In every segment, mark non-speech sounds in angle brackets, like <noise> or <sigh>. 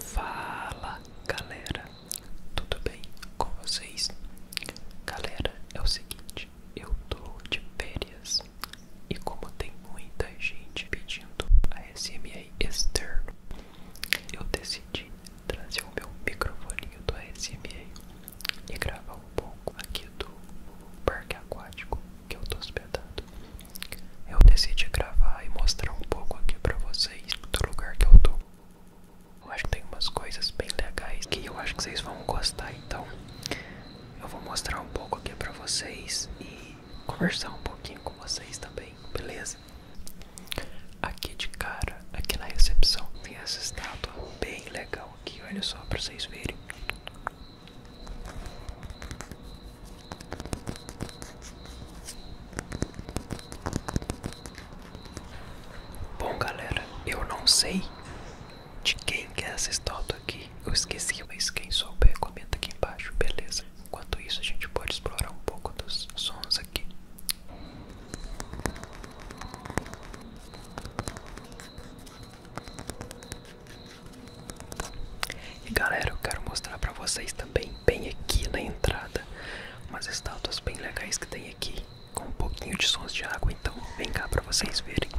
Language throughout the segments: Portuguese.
Fala galera, tudo bem com vocês? Galera, é o seguinte, eu tô de férias e como tem muita gente pedindo a SMA externo, eu decidi trazer o meu microfone do SMA e gravar um pouco aqui do parque aquático que eu tô hospedando. Eu decidi gravar e mostrar um pouco aqui pra vocês do lugar que eu tô. Eu acho que tem umas coisas bem legais que eu acho que vocês vão gostar, então eu vou mostrar um pouco aqui pra vocês e conversar um pouquinho com vocês também, beleza? Aqui de cara, aqui na recepção, tem essa estátua bem legal aqui, olha só pra vocês verem. Bom, galera, eu não sei de quem que é essa história aqui. Eu esqueci, mas quem souber, comenta aqui embaixo, beleza? Enquanto isso, a gente pode explorar um pouco dos sons aqui. E galera, eu quero mostrar pra vocês também, bem aqui na entrada, umas estátuas bem legais que tem aqui, com um pouquinho de sons de água, então vem cá pra vocês verem.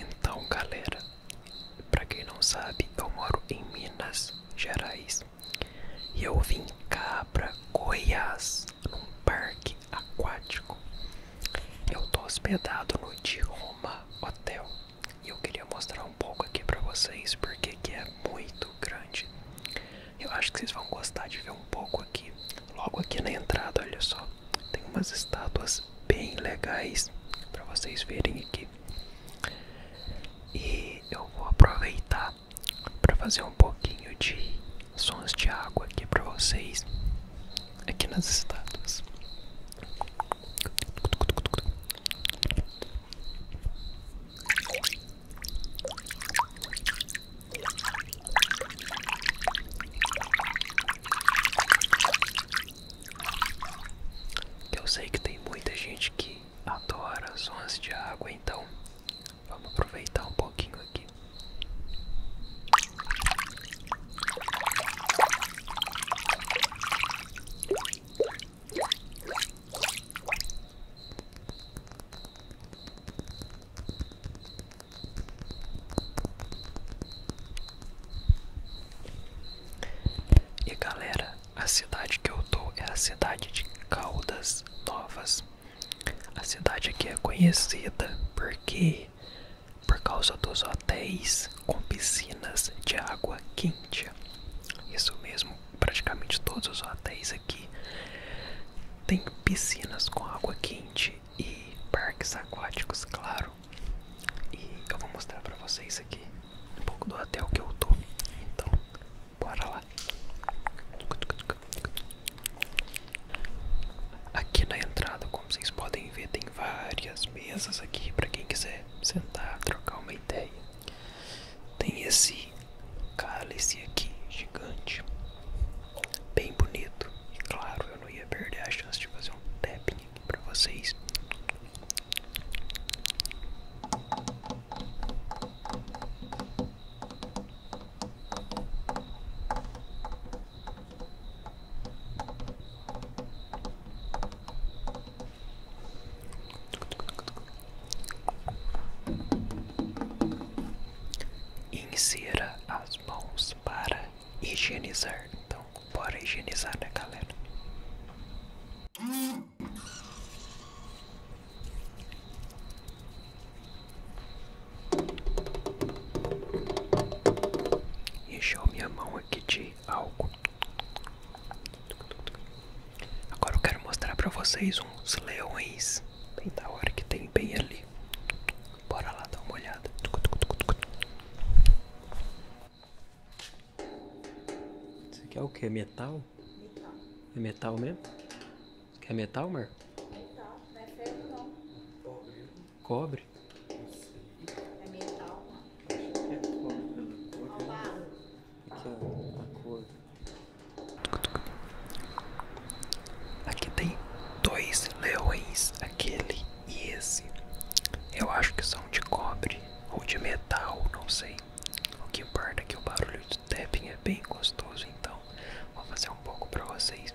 Então, galera, para quem não sabe, eu moro em Minas Gerais e eu vim cá para Goiás, num parque aquático. Eu estou hospedado no Dioma Hotel e eu queria mostrar um pouco aqui para vocês porque que é muito grande. Eu acho que vocês vão gostar de ver um pouco aqui, logo aqui na entrada, olha só. Tem umas estátuas bem legais para vocês verem aqui. E eu vou aproveitar para fazer um pouquinho de sons de água aqui para vocês aqui nas estátuas. Eu sei que tem muita gente que adora sons de água, então vamos aproveitar um pouquinho aqui. E galera, a cidade que eu tô é a cidade de Caldas Novas. A cidade aqui é conhecida porque por causa dos hotéis com piscinas de água quente. Isso mesmo, praticamente todos os hotéis aqui têm piscinas com água quente e parques aquáticos, claro. E eu vou mostrar pra vocês aqui um pouco do hotel que eu tô. Então, bora lá. Aqui na entrada, como vocês podem ver, tem várias mesas aqui para quem quiser sentar, trocar uma ideia. Tem esse cálice aqui gigante, bem bonito. E claro, eu não ia perder a chance de fazer um tapping aqui vocês. Insira as mãos para higienizar. Então. Então, bora higienizar, né, galera? Encheu minha mão aqui de álcool. Agora eu quero mostrar pra vocês uns leões. Bem da hora que tem bem ali. Bora lá dar uma olhada. Isso aqui é o que? É metal? É metal mesmo? é metal, Mar? Metal, não é ferro não. Cobre. É metal, mano. É cobre Aqui ó, a cor. Aqui tem dois leões, aquele e esse eu acho que são de cobre ou de metal, não sei. O que importa é que o barulho do tapping é bem gostoso, então vou fazer um pouco para vocês.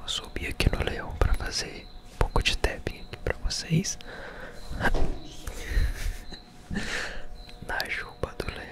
Eu subi aqui no leão para fazer um pouco de tapping aqui para vocês. <laughs> Na juba do leão.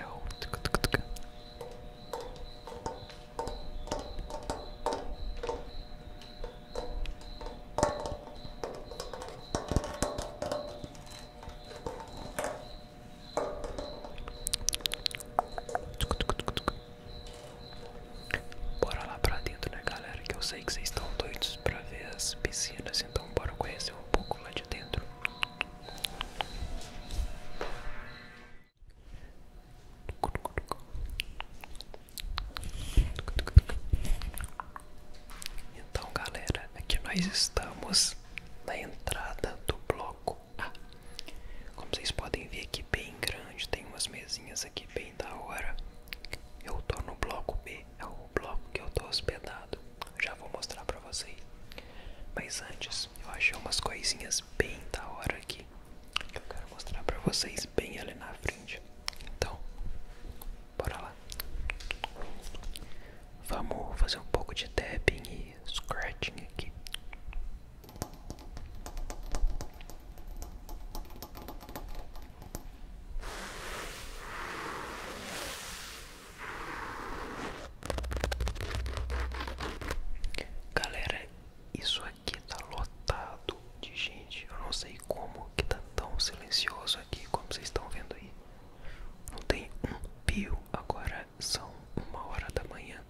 Bora lá pra dentro, né, galera? Que eu sei que vocês estão doidos pra ver as piscinas, então bora conhecer um pouco lá de dentro. Então, galera, aqui nós estamos na entrada do bloco A. Como vocês podem ver aqui bem grande, tem umas mesinhas aqui bem da hora. Eu tô no bloco B, é o bloco que eu tô hospedado. Já vou mostrar pra vocês. Mas antes, eu achei umas coisinhas bem da hora aqui. Que eu quero mostrar pra vocês bem ali na frente. Então, bora lá. Vamos fazer um pouco de tapping e scratching aqui. Galera, isso aqui tá lotado de gente. Eu não sei como que tá tão silencioso aqui, como vocês estão vendo aí. Não tem um pio. Agora são uma hora da manhã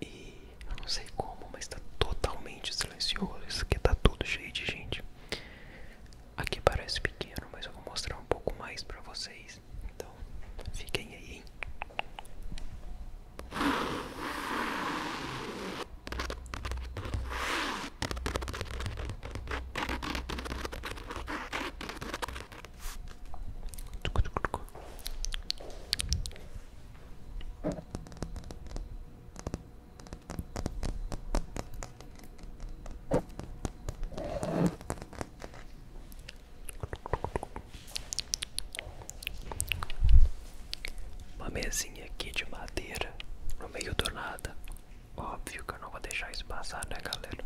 e eu não sei como, mas tá totalmente silencioso. Isso aqui tá tudo cheio de gente. Aqui parece pequeno, mas eu vou mostrar um pouco mais pra vocês. Então, fiquem aí, hein? Uma mesinha aqui de madeira no meio do nada. Óbvio que eu não vou deixar isso né, galera?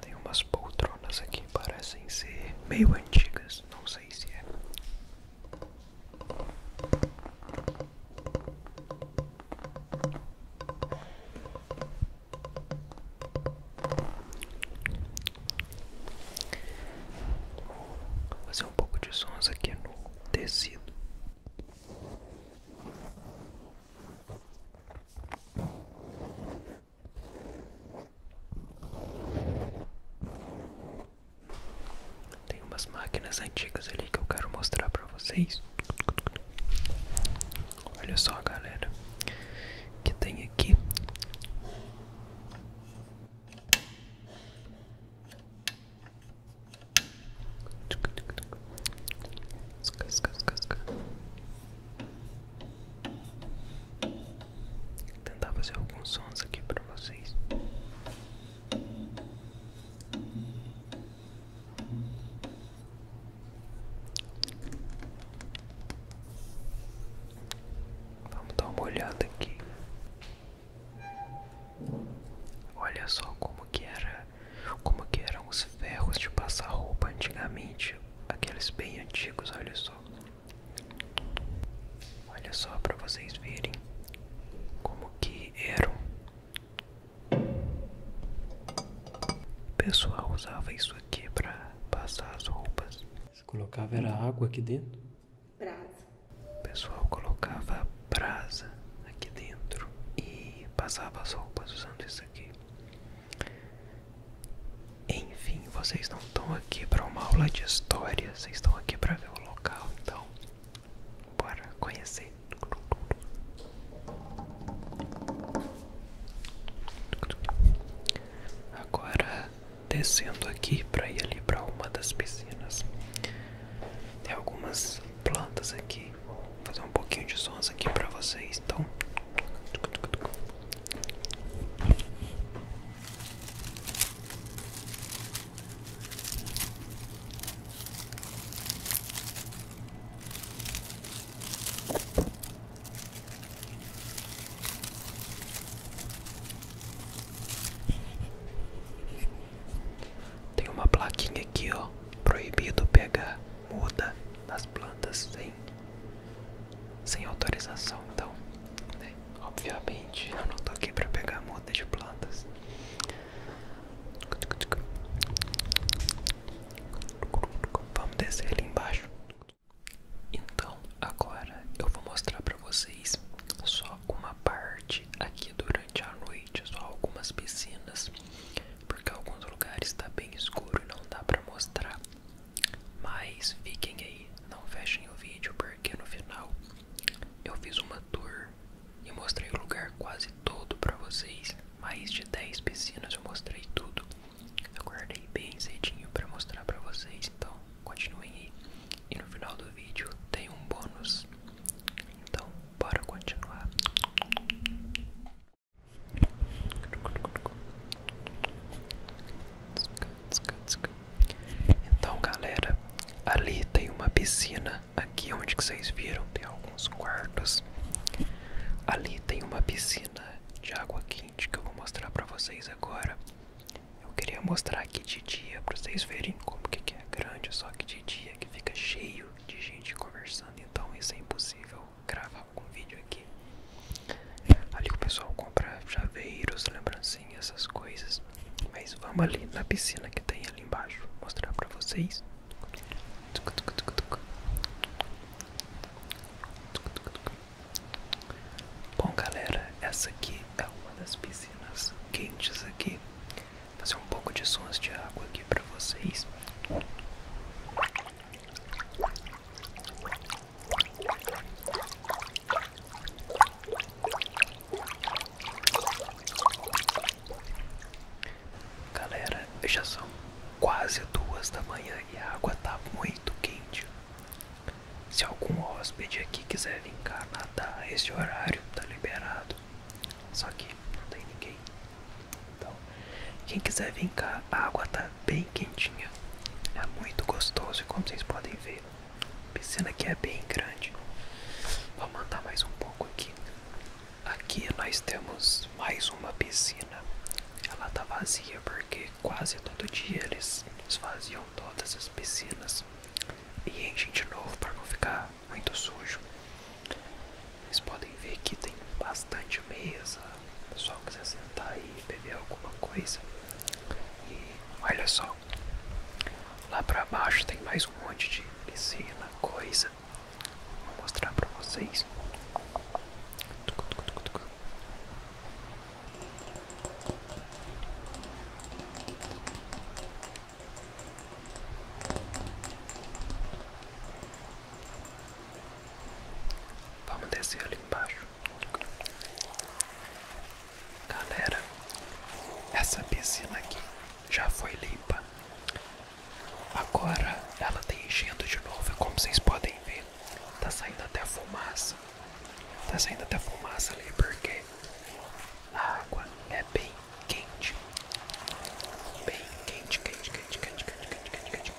Tem umas poltronas aqui, que parecem ser meio antigas, não sei se é. Vou fazer um pouco de sons aqui no tecido. Tem umas máquinas antigas ali que eu quero mostrar para vocês. Olha só, galera, que tem aqui. Tentar fazer alguns sons aqui para vocês. Vamos dar uma olhada aqui. Olha só como que era, como que eram os ferros de passar roupa antigamente, aqueles bem antigos, olha só. Olha só para vocês verem como que eram o pessoal usava isso aqui para passar as roupas. Você colocava era água aqui dentro? Brasa. O pessoal colocava brasa aqui dentro e passava as roupas usando isso aqui. Enfim, vocês não estão aqui para uma aula de história, vocês estão aqui para ver o local, então bora conhecer. Agora descendo aqui para ir ali para uma das piscinas. Tem algumas plantas aqui. Vou fazer um pouquinho de sons aqui para vocês. Então tem uma plaquinha aqui, ó, proibido pegar muda nas plantas sem sem autorização, então, né, Obviamente, eu não tô aqui para pegar muda de plantas. Vamos descer ali embaixo. Então, agora eu vou mostrar para vocês só uma parte aqui durante a noite, só algumas piscinas, porque alguns lugares está bem escuro e não dá para mostrar. Mas fiquem aí, não fechem o vídeo, porque no final eu fiz uma tour e mostrei o lugar quase todo para vocês mais de 10 piscinas, eu mostrei tudo. Eu guardei bem cedinho para mostrar para vocês, então continuem aí. E no final do vídeo tem um bônus. Então, bora continuar. Então, galera, ali tem uma piscina. Aqui onde vocês viram tem algum alguns quartos. Ali tem uma piscina de água quente que eu vou mostrar para vocês agora. Eu queria mostrar aqui de dia para vocês verem como que é grande, só que de dia que fica cheio de gente conversando, então isso é impossível gravar algum vídeo aqui. Ali o pessoal compra chaveiros, lembrancinhas, essas coisas. Mas vamos ali na piscina que tem ali embaixo, mostrar para vocês. Bom, galera, essa aqui é uma das piscinas quentes aqui. Vou fazer um pouco de sons de água aqui para vocês. Galera, já são quase duas da manhã e a água tá muito quente. Se algum hóspede aqui quiser vir cá nadar a esse horário, tá liberado. Só que não tem ninguém. Então, quem quiser vir cá, a água tá bem quentinha. É muito gostoso e como vocês podem ver, a piscina aqui é bem grande. Vou mandar mais um pouco aqui. Aqui nós temos mais uma piscina. Ela tá vazia porque quase todo dia eles esvaziam todas as piscinas e enchem de novo para não ficar muito sujo. Vocês podem ver que tem bastante mesa. O pessoal quiser sentar e beber alguma coisa. E olha só, lá para baixo tem mais um monte de piscina, coisa mostrar para vocês. Vamos descer ali embaixo. Galera, essa piscina aqui já foi limpa. Agora ela está enchendo de novo, é como vocês podem ver, Está saindo até a fumaça. Está saindo até a fumaça ali porque a água é bem quente. Bem quente, quente, quente, quente, quente, quente, quente.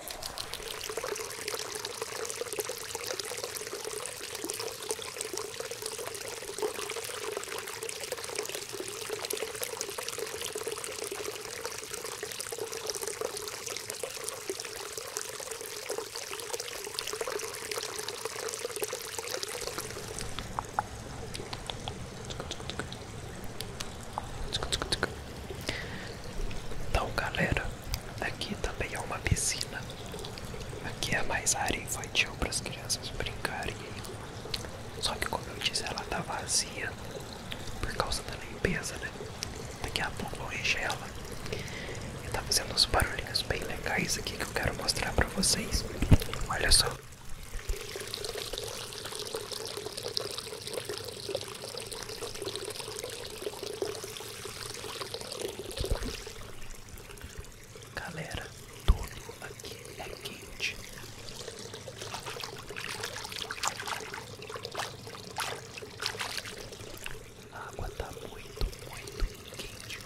Então, galera, aqui também é uma piscina. Aqui é mais área infantil para as crianças brincarem. Só que como eu disse, ela tá vazia por causa da limpeza, né? Daqui a pouco vão encher ela. E tá fazendo uns barulhinhos bem legais aqui que eu quero mostrar pra vocês. Olha só. Galera, tudo aqui é quente. A água tá muito, muito quente.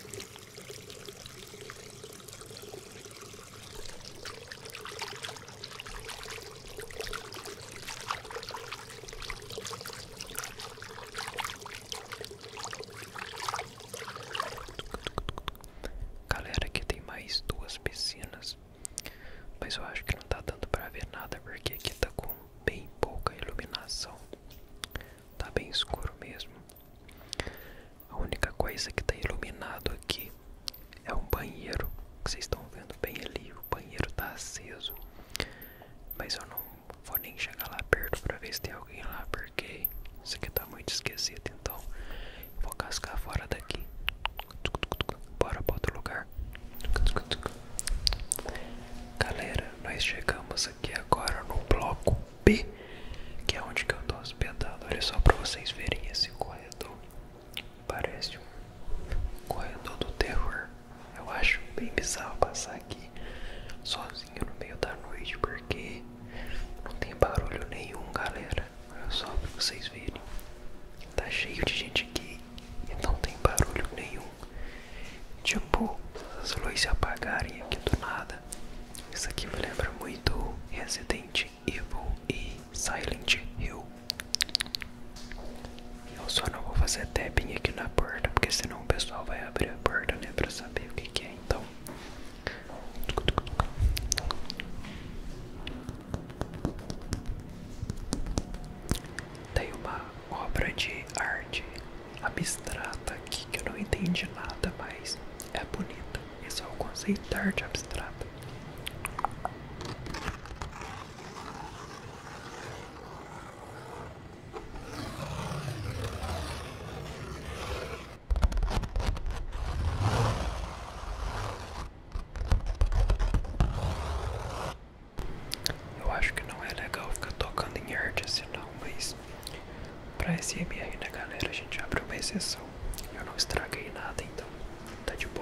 Galera, aqui tem mais duas piscinas. Mas eu acho que não tá dando pra ver nada porque aqui tá com bem pouca iluminação. Tá bem escuro mesmo. A única coisa que tá iluminado aqui é um banheiro. Que vocês estão vendo bem ali. O banheiro tá aceso. Mas eu não vou nem chegar lá perto pra ver se tem alguém lá porque isso aqui tá muito esquisito então vou cascar fora daqui. Bora para outro lugar. Galera, nós chegamos aqui agora no bloco B, que é onde que eu tô hospedado. Olha só para vocês verem esse corredor. Parece um corredor do terror. Eu acho bem bizarro passar aqui sozinho no meio da noite, porque não tem barulho nenhum, galera. Olha só para vocês verem. Tá cheio de gente aqui e não tem barulho nenhum. Tipo, as luzes se apagarem aqui do nada. Isso aqui me lembra muito Resident Evil e Silent Hill. Eu só não vou fazer tapping aqui na porta, porque senão o pessoal vai abrir a porta, né, pra saber o que é, então tem uma obra de arte abstrata aqui que eu não entendi nada, mas é bonita. Esse é o conceito de arte abstrata. Eu acho que não é legal ficar tocando em arte assim não, mas pra SMR né galera, a gente abre uma exceção. Eu não estraguei nada então, tá de boa.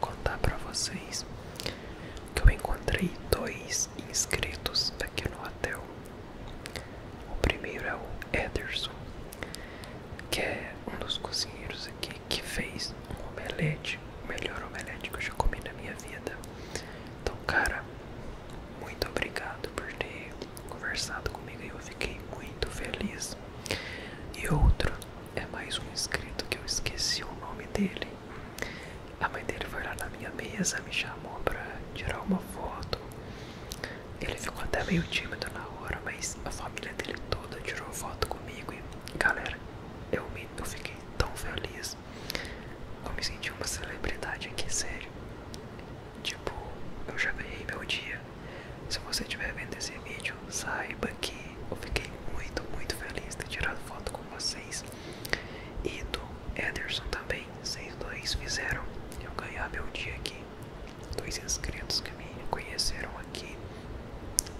contar para vocês que eu encontrei dois inscritos aqui no hotel. O primeiro é o Ederson, que é um dos cozinheiros aqui que fez um omelete, o melhor omelete que eu já comi na minha vida. Então, cara, muito obrigado por ter conversado comigo e eu fiquei muito feliz. E outro é mais um inscrito que eu esqueci o nome dele. A mãe dele foi lá na minha mesa, me chamou pra tirar uma foto. Ele ficou até meio tímido na hora, mas a família dele toda tirou foto comigo. E galera, eu, me, fiquei tão feliz. Eu me senti uma celebridade aqui, sério. Tipo, eu já ganhei meu dia. Se você estiver vendo esse vídeo, saiba que eu fiquei muito, muito feliz de ter tirado foto com vocês e do Ederson também. Vocês dois fizeram eu ganhar meu dia aqui. Dois inscritos que me conheceram aqui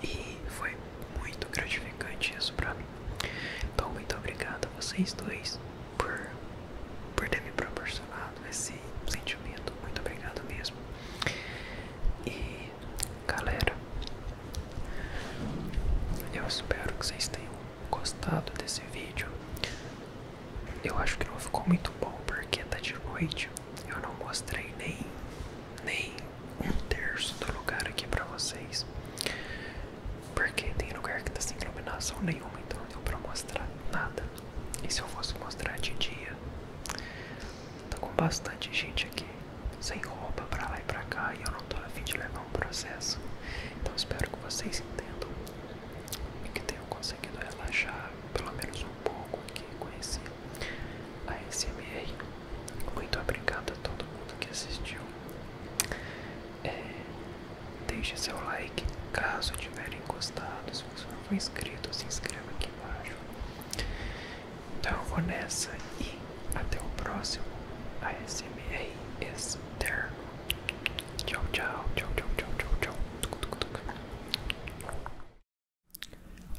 e foi muito gratificante isso pra mim. Então, muito obrigado a vocês dois por, por ter me proporcionado esse sentimento. Muito obrigado mesmo. Galera, eu espero que vocês tenham gostado desse vídeo. Eu acho que não ficou muito bom porque tá de noite. Eu não mostrei nem, nem um terço do lugar aqui pra vocês. Porque tem lugar que tá sem iluminação nenhuma, então não deu pra mostrar nada. E se eu fosse mostrar de dia, Estou com bastante gente aqui, sem roupa para lá e para cá, e eu não estou a fim de levar um processo. Então espero que vocês entendam e que tenham conseguido relaxar pelo menos um pouco aqui com esse ASMR. Muito obrigado a todo mundo que assistiu. É, deixe seu like caso tiverem gostado. Se você não for inscrito, se inscreva aqui embaixo. Então eu vou nessa e até o próximo ASMR externo. Tchau, tchau, tchau, tchau, tchau, tchau, tchau.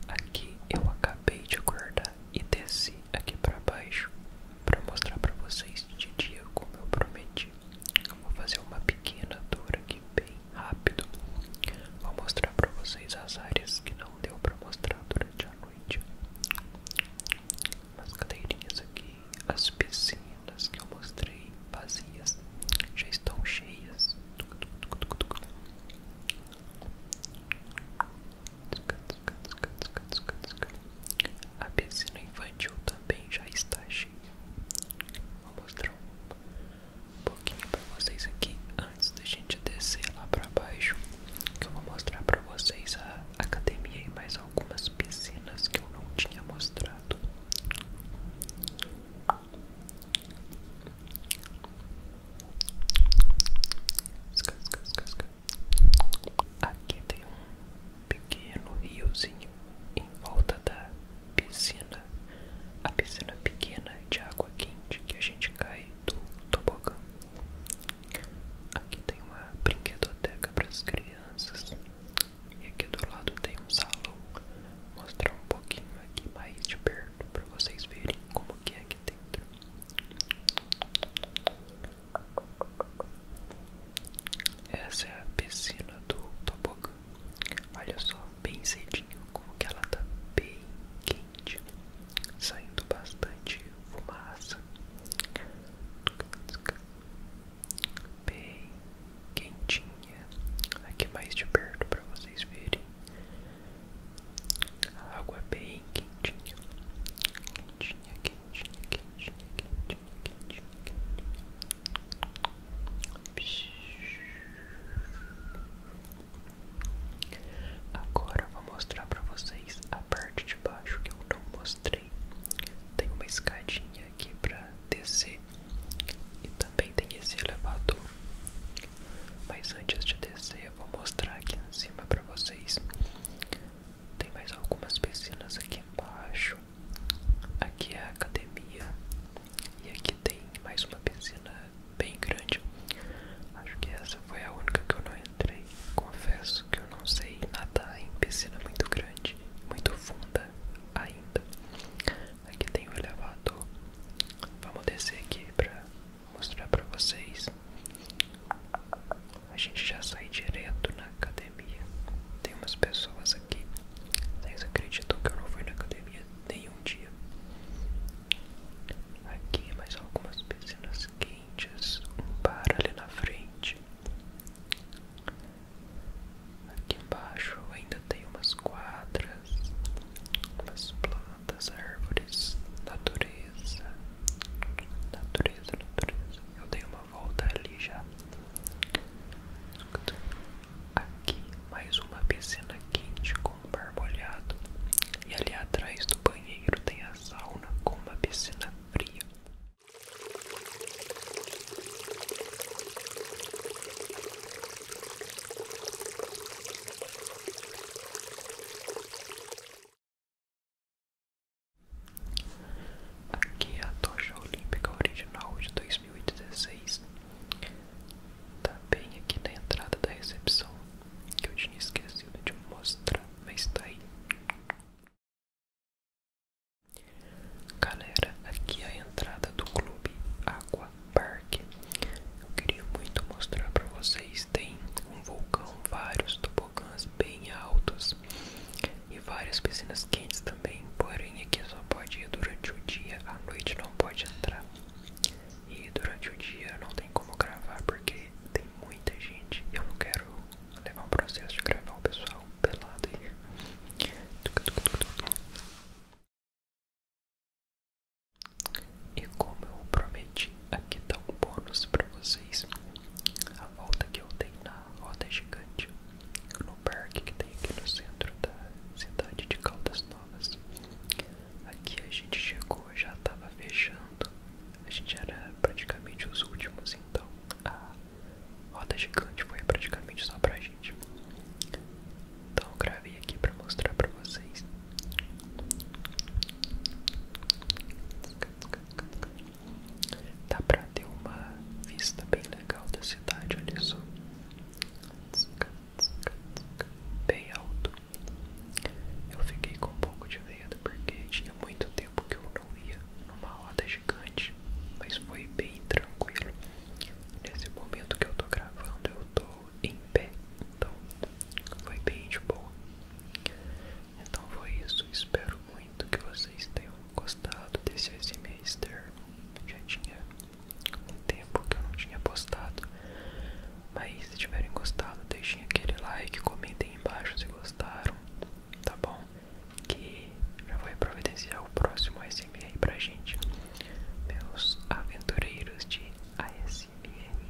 Aqui eu acabei de acordar e desci aqui pra baixo pra mostrar pra vocês de dia como eu prometi. Eu vou fazer uma pequena dura aqui bem rápido. Vou mostrar para vocês as áreas que não deu para mostrar durante a noite. As cadeirinhas aqui, as piscinas que eu mostrei vazias já estão cheias. A piscina infantil também já está cheia. Vou mostrar um pouquinho pra vocês aqui antes da gente descer lá pra baixo. Que eu vou mostrar pra vocês a academia e mais algumas piscinas que eu não tinha mostrado. Aqui tem um pequeno riozinho em volta da piscina, a piscina pequena de água quente que a gente cai do tobogã. Aqui tem uma brinquedoteca para as crianças. E aqui do lado tem um salão. Vou mostrar um pouquinho aqui mais de perto para vocês verem como que é aqui dentro. Essa é a piscina do tobogã. Olha só, bem cedinho, como que ela tá bem quente, saindo bastante fumaça. Bem quentinha. Aqui mais de perto para vocês verem. A água bem quentinha. Quentinha, quentinha, quentinha, quentinha, quentinha, quentinha. Agora eu vou mostrar para vocês a parte de baixo que eu não mostrei. Tem uma escadinha aqui para descer e também tem esse elevador. Mas antes de descer, eu vou mostrar aqui em cima para vocês. Tem mais algumas piscinas aqui embaixo. Aqui é a academia e aqui tem mais uma piscina bem grande. Acho que essa foi a única que eu não entrei. Confesso que eu não sei nadar em piscina muito grande, muito funda ainda. Aqui tem o elevador. Vamos descer aqui para mostrar para vocês. A gente já sai direto na academia. Tem umas pessoas aqui. Vocês acreditam que eu não fui na academia nenhum dia. Aqui mais algumas piscinas quentes, um bar ali na frente. Aqui embaixo ainda tem umas quadras, umas plantas, árvores, natureza, natureza, natureza. Eu dei uma volta ali já. Aqui mais uma piscina quente com um barbolhado. E ali atrás do banheiro tem a sauna com uma piscina fria. Aqui é a tocha olímpica original de dois mil e 2016 Tá bem aqui na entrada da recepção, que eu tinha esquecido de mostrar, mas tá aí. Galera, aqui é a entrada do clube Aqua Park. Eu queria muito mostrar para vocês, tem um vulcão, vários tobogãs bem altos e várias piscinas quentes porém aqui é só pode ir durante o dia, à noite não pode entrar. E durante o dia não tem como gravar porque tem muita gente. Eu não quero levar o processo de gravar o pessoal pelado aí. E como eu prometi, aqui tá um bônus pra vocês. A volta que eu dei na roda gigante no parque que tem aqui no centro da cidade de Caldas Novas. Aqui a gente chegou, já estava fechando, a gente era praticamente os últimos, então a roda gigante foi praticamente só pra gente. Então eu gravei aqui pra mostrar pra vocês. Dá pra ter uma vista bem legal da cidade, olha só bem alto. Eu fiquei com um pouco de medo porque tinha muito tempo que eu não ia numa roda gigante, mas foi bem tranquilo. Nesse momento que eu tô gravando, eu tô em pé, então foi bem de boa. Então foi isso, espero muito que vocês tenham gostado desse exame externo um tempo que eu não tinha postado. Mas se tiverem gostado, deixem aquele like, comentem aí embaixo se gostaram, tá bom? Que já vai providenciar o próximo ASMR aí pra gente, meus aventureiros de ASMR.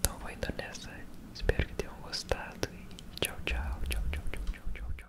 Então vou indo nessa, espero que tenham gostado e tchau, tchau, tchau, tchau, tchau, tchau. tchau.